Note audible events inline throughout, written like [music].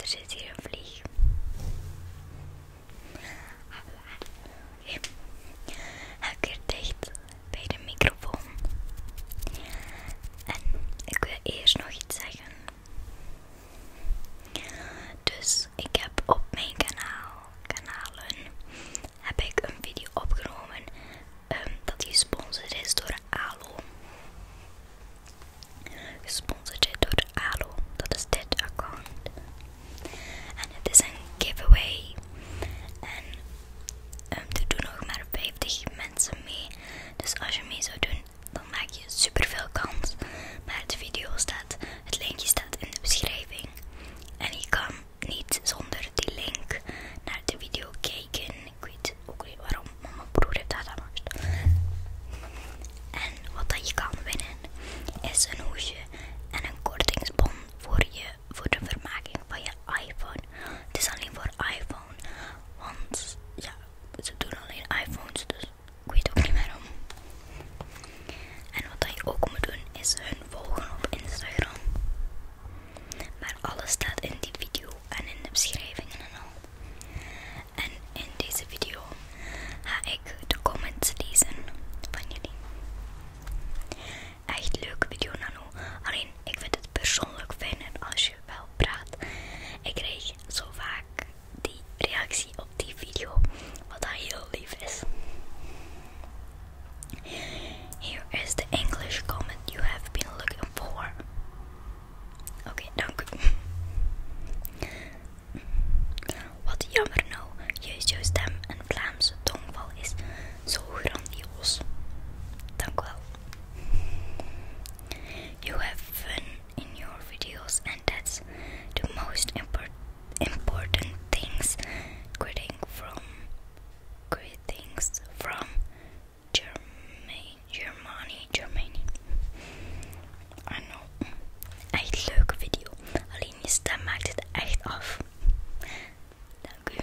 Er zit hier een vlieg. ik hier dicht bij de microfoon. En ik wil eerst nog iets zeggen. Dus ik heb op mijn kanaal, kanalen, heb ik een video opgenomen ehm, dat die gesponsord is door Alo. Gesponsord door ALO, dat is dit account. En het is een giveaway. En ehm, er doen nog maar 50 mensen mee. Dus als je mee zou doen, dan maak je super veel kans. Maar de video staat, het linkje staat in de beschrijving. En je kan niet zonder die link naar de video kijken ik weet ook niet waarom, mijn broer heeft dat gemaakt. En wat dat je kan winnen is een hoesje en een kortingsbon voor, je, voor de vermaking van je iPhone. Het is alleen voor iPhone, want ja, ze doen alleen iPhones, dus ik weet ook niet waarom. En wat dat je ook moet doen is hun volgen op Instagram. Maar alles staat in die video en in de beschrijvingen en al. En in deze video ga ik de comments lezen van jullie. Echt leuke video Nano, alleen ik vind het persoonlijk fijner als je wel praat. Ik kreeg zo vaak die reactie op die video, wat dat heel lief is. Here is the English comment you have been looking for. Oké, okay, dank [laughs] u. Wat jammer nou, juist jouw stem een Vlaamse tongval is. Zo grandioos. Dank u wel. You have fun in your videos and that's the most impor important things. Greetings from greetings from Germany, Germany, Germany. I know. Echt leuke video. Alleen je stem maakt het echt af. Dank u.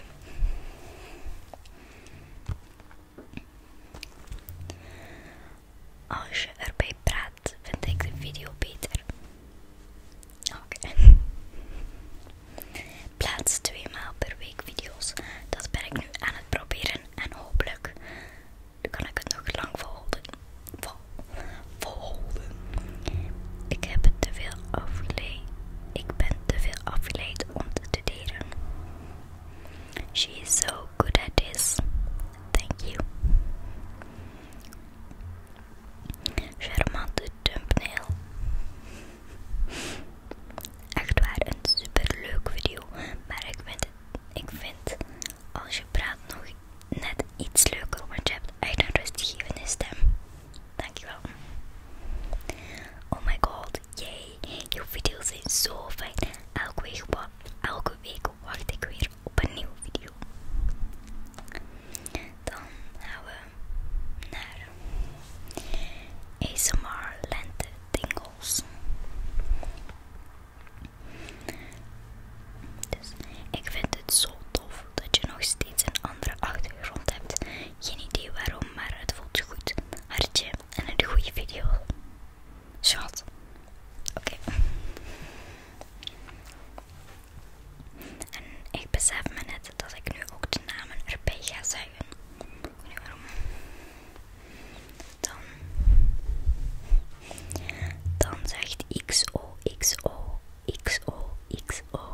Als je erbij praat, vind ik de video beter. Oké. Plaats twee maal per week video's. Dat ben ik nu aan het proberen en hopelijk kan ik het nog lang volhouden. Vol, Ik heb te veel affiliate. Ik ben te veel afgeleid om te delen She is so good at this. Thank you. Charmante thumbnail. Echt waar, een superleuk video. Maar ik vind, ik vind als je praat nog net iets leuker, want je hebt echt een rustgevende stem. Dankjewel. Oh my god, yay. je video's zijn zo fijn. Elke week, elke week wacht ik weer op een nieuwe video. Dan gaan we naar ASMR Lente dingels. Dus ik vind het zo tof dat je nog steeds een andere achtergrond hebt. Geen idee waarom, maar het voelt goed. Hartje en een goede video. Schat. Oké. En ik besef me net dat ik nu ook de namen erbij ga zeggen. Dan, dan zegt XO, XO, XO, XO.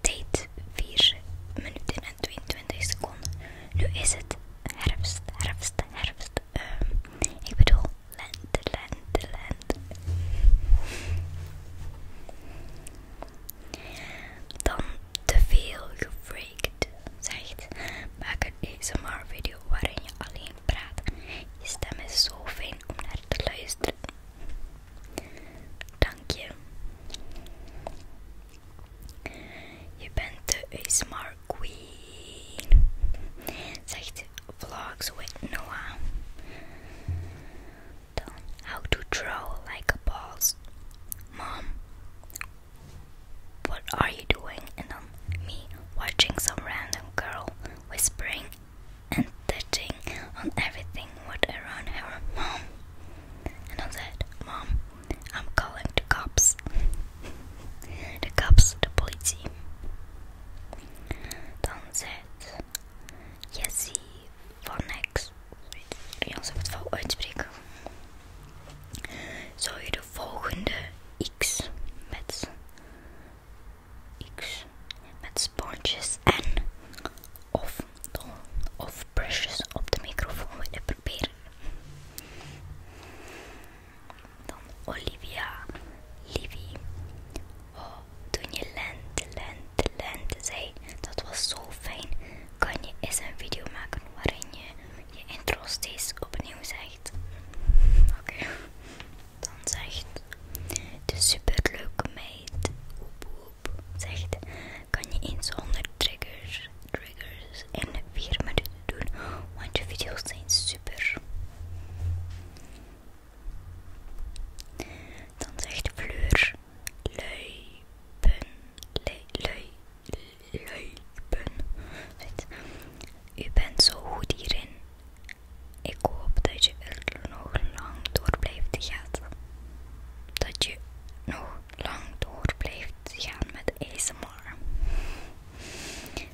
Tijd 4 minuten en 22 seconden. Nu is het herfst, herfst, herfst. Ehm, ik bedoel land, land land dan te veel gefreakt zegt. Maak een ASMR video waarin je alleen praat. Je stem is zo fijn om naar te luisteren. Dank je. Je bent de ASMR queen, zegt Vlogs with Noah. down how to draw like a boss. Mom, what are you doing? And I'm um, me watching some random girl whispering and touching on everything what around her. Mom, and I said, Mom, I'm calling the cops. [laughs] the cops, the police. Tom said, Yes, he van x. Jans ik het val uitspreken. Zou je de volgende X met, X met sponsjes en of, of brushes op de microfoon willen proberen? Dan Olivia, Livi. Oh, toen je land, land, land zei, dat was zo fijn. Kan je eens een video maken waarin je je intro steeds opnieuw zegt? Oké, dan zegt de super leuke meid, oep, zegt, kan je eens zonder triggers, triggers en 4 minuten doen, want je video's zijn super. Dan zegt de vleur lui, lui, U bent zo goed hierin. Ik hoop dat je er nog lang door blijft gaan. Dat je nog lang door blijft gaan met ASMR.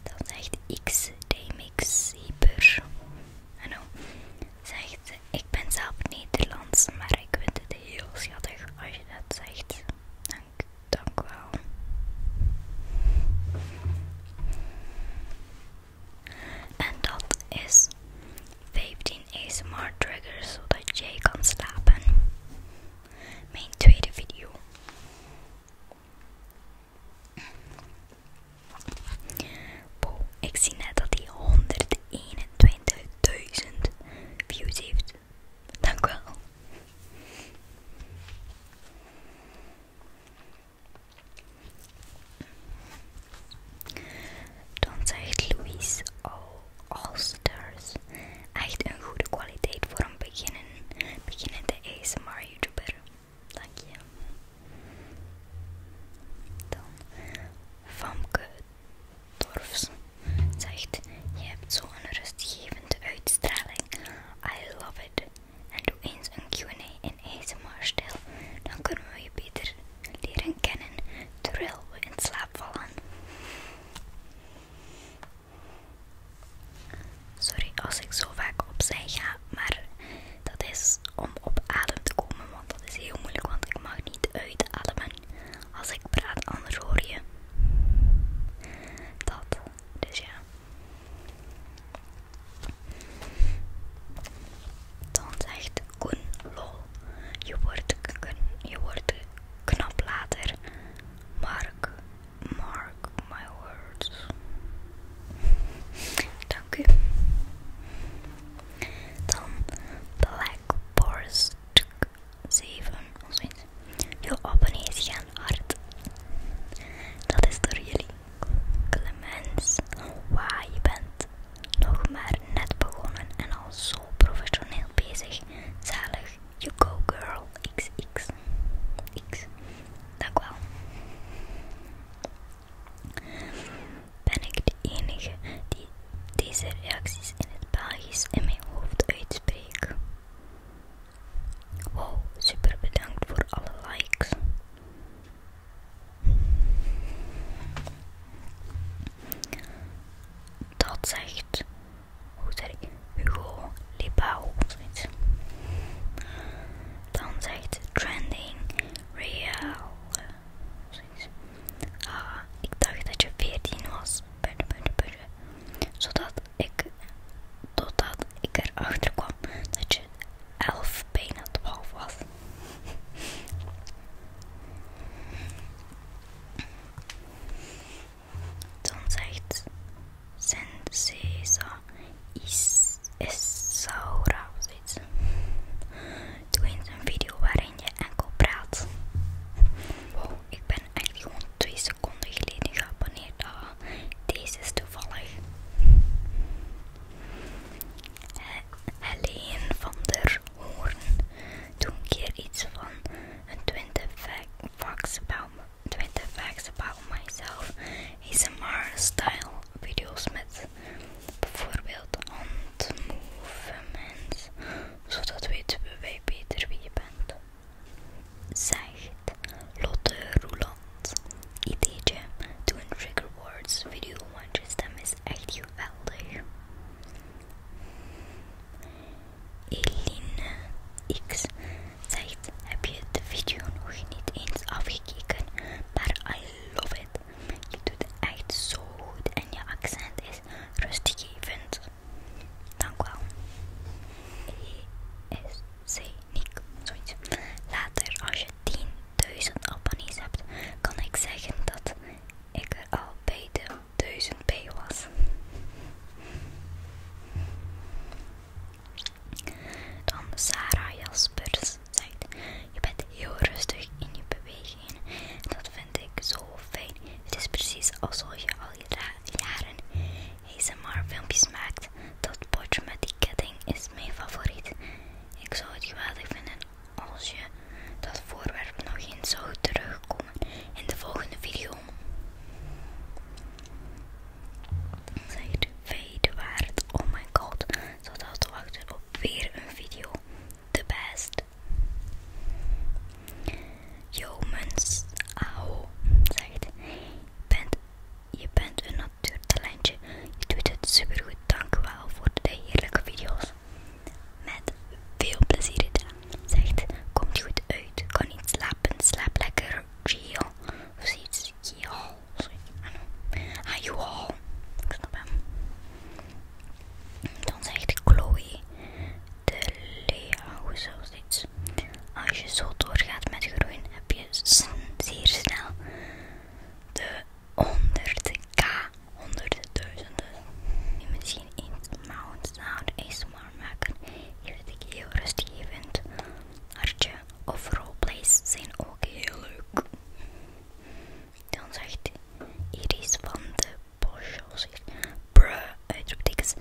Dan zegt X, Dmx, Hyper. Hallo, zegt Ik ben zelf Nederlands, maar ik vind het heel schattig als je dat zegt. Dank, dank wel. En dat is 15 ASMR triggers zodat jij kan slapen. Mijn tweede video Wow, ik zie net dat hij 121.000 views heeft. Dank wel. Dan zegt Louise oh, all stars Echt een goede kwaliteit voor een beginnen, beginnende ASMR YouTuber. Dank je. Dan Famke Dorfs zegt: Je hebt zo'n rustgevende uitstraling. I love it. En doe eens een QA in asmr stil. Dan kunnen we je beter leren kennen terwijl we in slaap vallen. Sorry als ik zo vaak opzij ga, maar dat is om op adem te komen, want dat is heel moeilijk, want ik mag niet uitademen als ik praat, anders hoor je dat. Dus ja. Dan zegt Koen lol. Je wordt, je wordt knap later. Mark, Mark my words. Dank u. Dan Black 7 of zoiets. Je abonnees gaan hard. Dat is door jullie. Clemens, waar je bent. Nog maar net begonnen en al zo professioneel bezig. Zalig, you go girl. XX. X. Dank wel. Ben ik de enige die deze reacties in het Belgisch in mijn hoofd uitspreekt? Wow, super bedankt voor alle likes. Dat zegt hoe zeg ik, Hugo Libao of zoiets. Dan zegt trending real. Ah, ik dacht dat je 14 was. Zodat ik, totdat ik erachter kwam dat je 11, bijna 12 was. Dan zegt Sensesa is, Isaura of zoiets. Doe eens een video waarin je enkel praat. Wow, ik ben eigenlijk gewoon 2 seconden geleden geabonneerd. Ah, deze is toevallig. Helene van der Hoorn. Doe een keer iets van een twintig fax me. 20 facts about myself more style video's met bijvoorbeeld handmovements zodat weten we beter wie je bent zegt Lotte Roeland ideetje doen een trigger words video want je stem is echt geweldig Eline X zegt, heb je de video nog niet eens afgekeken, maar I love it. Je doet het echt zo goed en je accent is rustgevend. Dank wel. E is C Nick, zoiets. Later, als je 10.000 abonnees hebt, kan ik zeggen dat ik er al bij de 1000 bij was. Dan Sarah Jaspers zei: je bent heel rustig in je bewegingen dat vind ik zo fijn. Het is precies alsof je al jaren ASMR filmpjes maakt. Dat potje met die ketting is mijn favoriet. Ik zou het geweldig vinden als je dat voorwerp nog eens zou terugkomen in de volgende video. Zegt weet waard. Oh my god. Zodat we wachten op weer een video. De best. Yo au. Aho. Zegt. je bent een natuurtalentje. Je doet het supergoed. Dank u wel voor de heerlijke video's. Met veel plezier Zegt, komt goed uit, kan niet slapen, slaap lekker, Gio. Of zoiets, Gio. Sorry, ah, ah joh. Dan zegt Chloe, de Leo, iets Als je zo doorgaat met groeien, heb je zeer snel de 100k, honderdduizenden. Misschien eens maand, nou, eens ASMR maken. Hier zit ik heel rustig event. Hartje of roleplays zijn ook heel leuk. Dan zegt Iris van de Bosjos Bruh, is,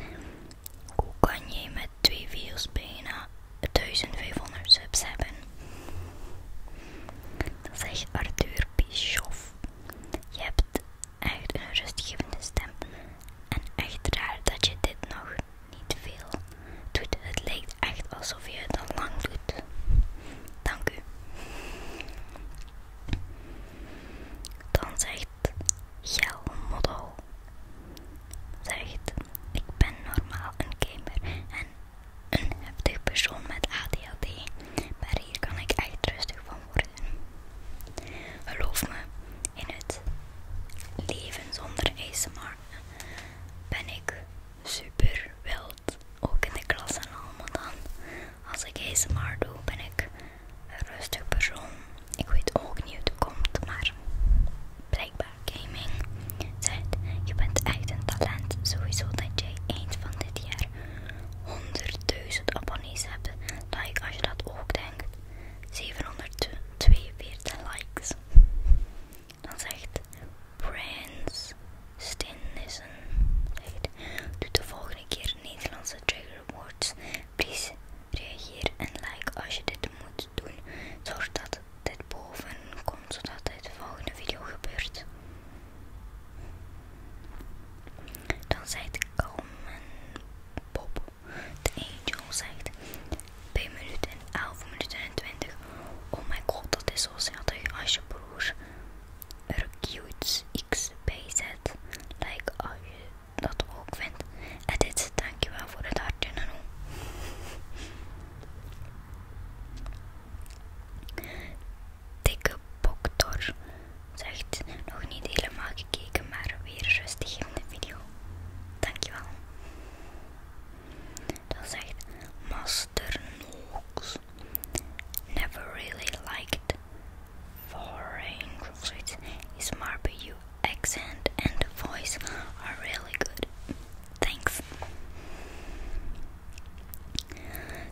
Hoe kan je met twee video's bijna 1500 subs hebben? Dan zegt Arthur Bischoff. Je hebt echt een rustgevende stem. En echt raar dat je dit nog niet veel doet. Het lijkt echt alsof je het al lang doet. Dank u. Dan zegt jouw Model. Zegt, ik ben normaal een gamer en een heftig persoon met ADHD. Maar hier kan ik echt rustig van worden. Geloof me, in het leven zonder ASMR ben ik super wild. Ook in de klas en allemaal dan. Als ik ASMR doe, ben ik een rustig persoon. Ik weet ook niet hoe het komt, maar blijkbaar gaming zegt, je bent echt een talent. Sowieso dat jij eind van dit jaar 100.000 abonnees hebt like als je dat ook denkt. 742 likes. Dan zegt Prince Stinnissen. Zegt, doe de volgende keer Nederlandse trigger words. Please reageer en like als je dit moet doen. Zorg dat dit boven komt zodat dit de volgende video gebeurt. Dan ik komen Bob, de angel zegt, 2 minuten en 11 minuten en 20. Oh mijn god, dat is zo zeldig als je broers er cute x zet. Like als je dat ook vindt. En dit, dankjewel voor het hartje Nano dikke boktor. Zegt nog niet helemaal gekeken, maar weer rustig in de video. Dankjewel. Dan zegt Master Nooks, Never really liked foreign zoiets. His Marbu accent and voice are really good. Thanks.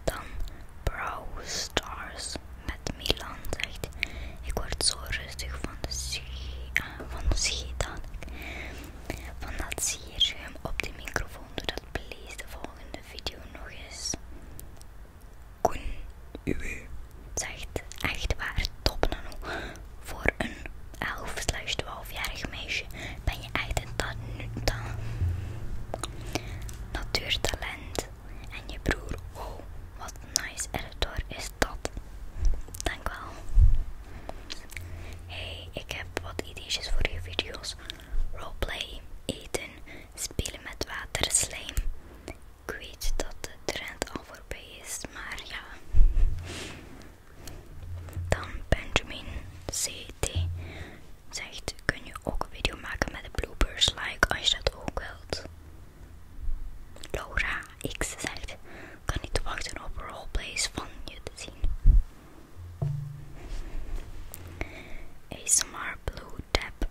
Dan brow Stars met Milan zegt, ik word zo rustig van de ski, eh, van de dat zie van hem op de microfoon doe dat please de volgende video nog eens. Koen zegt, echt waar, top nano. Voor een 11 12-jarig meisje ben je echt een nu. natuurtalent. En je broer, oh, wat een nice editor is dat. Dank wel. Hey, ik heb wat ideetjes voor je video's. Roleplay, eten, spelen met water, slime. Ik weet dat de trend al voorbij is, maar ja. Dan Benjamin C.T zegt, kun je ook een video maken met de bloopers, like, als je dat ook wilt. Laura X zegt, kan niet wachten op roleplays van je te zien. ASMR Blue Tab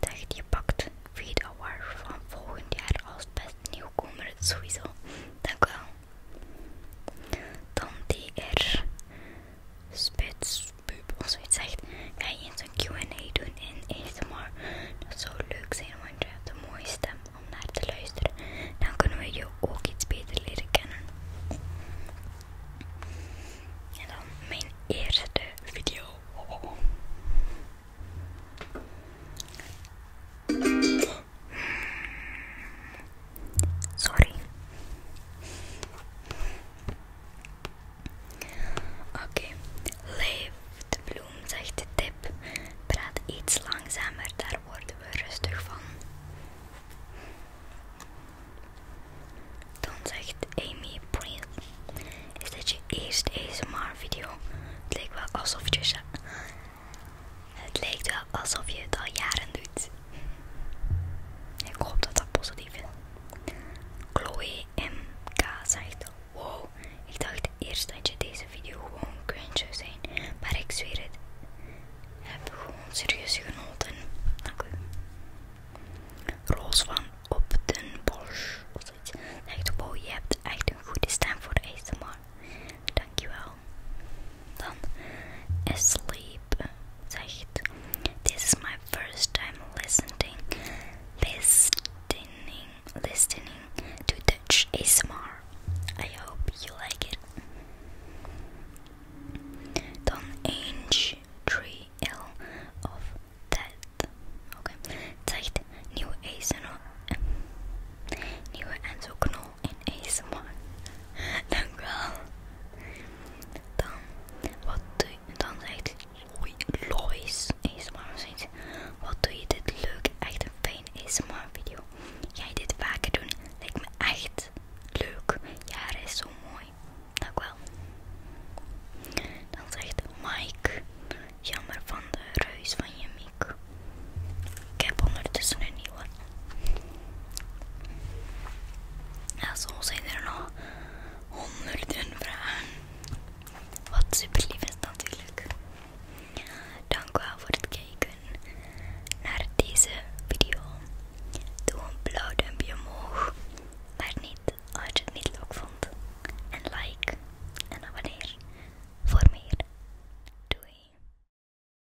zegt, je pakt video Award van volgend jaar als best nieuwkomer sowieso. Dank u wel. Dan R Spits pup of zoiets zegt, ga je eens een Q&A doen in ASMR. Dat zou leuk zijn, want je hebt een mooie stem om naar te luisteren. Dan kunnen we je ook iets beter leren kennen. En dan mijn eerste video. Sorry. Oké, okay. leef de bloem, zegt de tip. Praat iets langzamer, daar worden we rustig van. Dan zegt Amy Prince. is dit je eerste ASMR-video? Het leek wel alsof je... Het leek wel alsof je het al jaren doet. Ik hoop dat dat positief is. Chloe MK zegt: Wow, ik dacht eerst dat je deze video gewoon kunt zou zijn, maar ik zweer het. Heb gewoon serieus genoten. Dank u. Roos van Op den Bosch of zoiets. Zegt: Wow, je hebt echt een goede stem voor de je wel. Dan asleep zegt. This is my first time listening listening listening to Dutch ASMR. I hope you like it. Dan Ange 3L of that. Okay. Zegt nieuwe ASMR. Nieuwe en in ASMR. Dank wel. Dan, wat doe je? Dan zegt Lois, Lois ASMR Wat doe je dit leuk? Echt een fijn ASMR video. Jij dit vaker doen? Lijkt me echt leuk. Ja, is zo mooi. Dank wel. Dan zegt Mike, jammer van de ruis van je mic. Ik heb ondertussen een nieuwe. Zo zijn er nog honderden vragen. Wat super lief is natuurlijk. Dank u wel voor het kijken naar deze video. Doe een blauw duimpje omhoog, maar niet als je het niet leuk vond. En like en abonneer voor meer. Doei!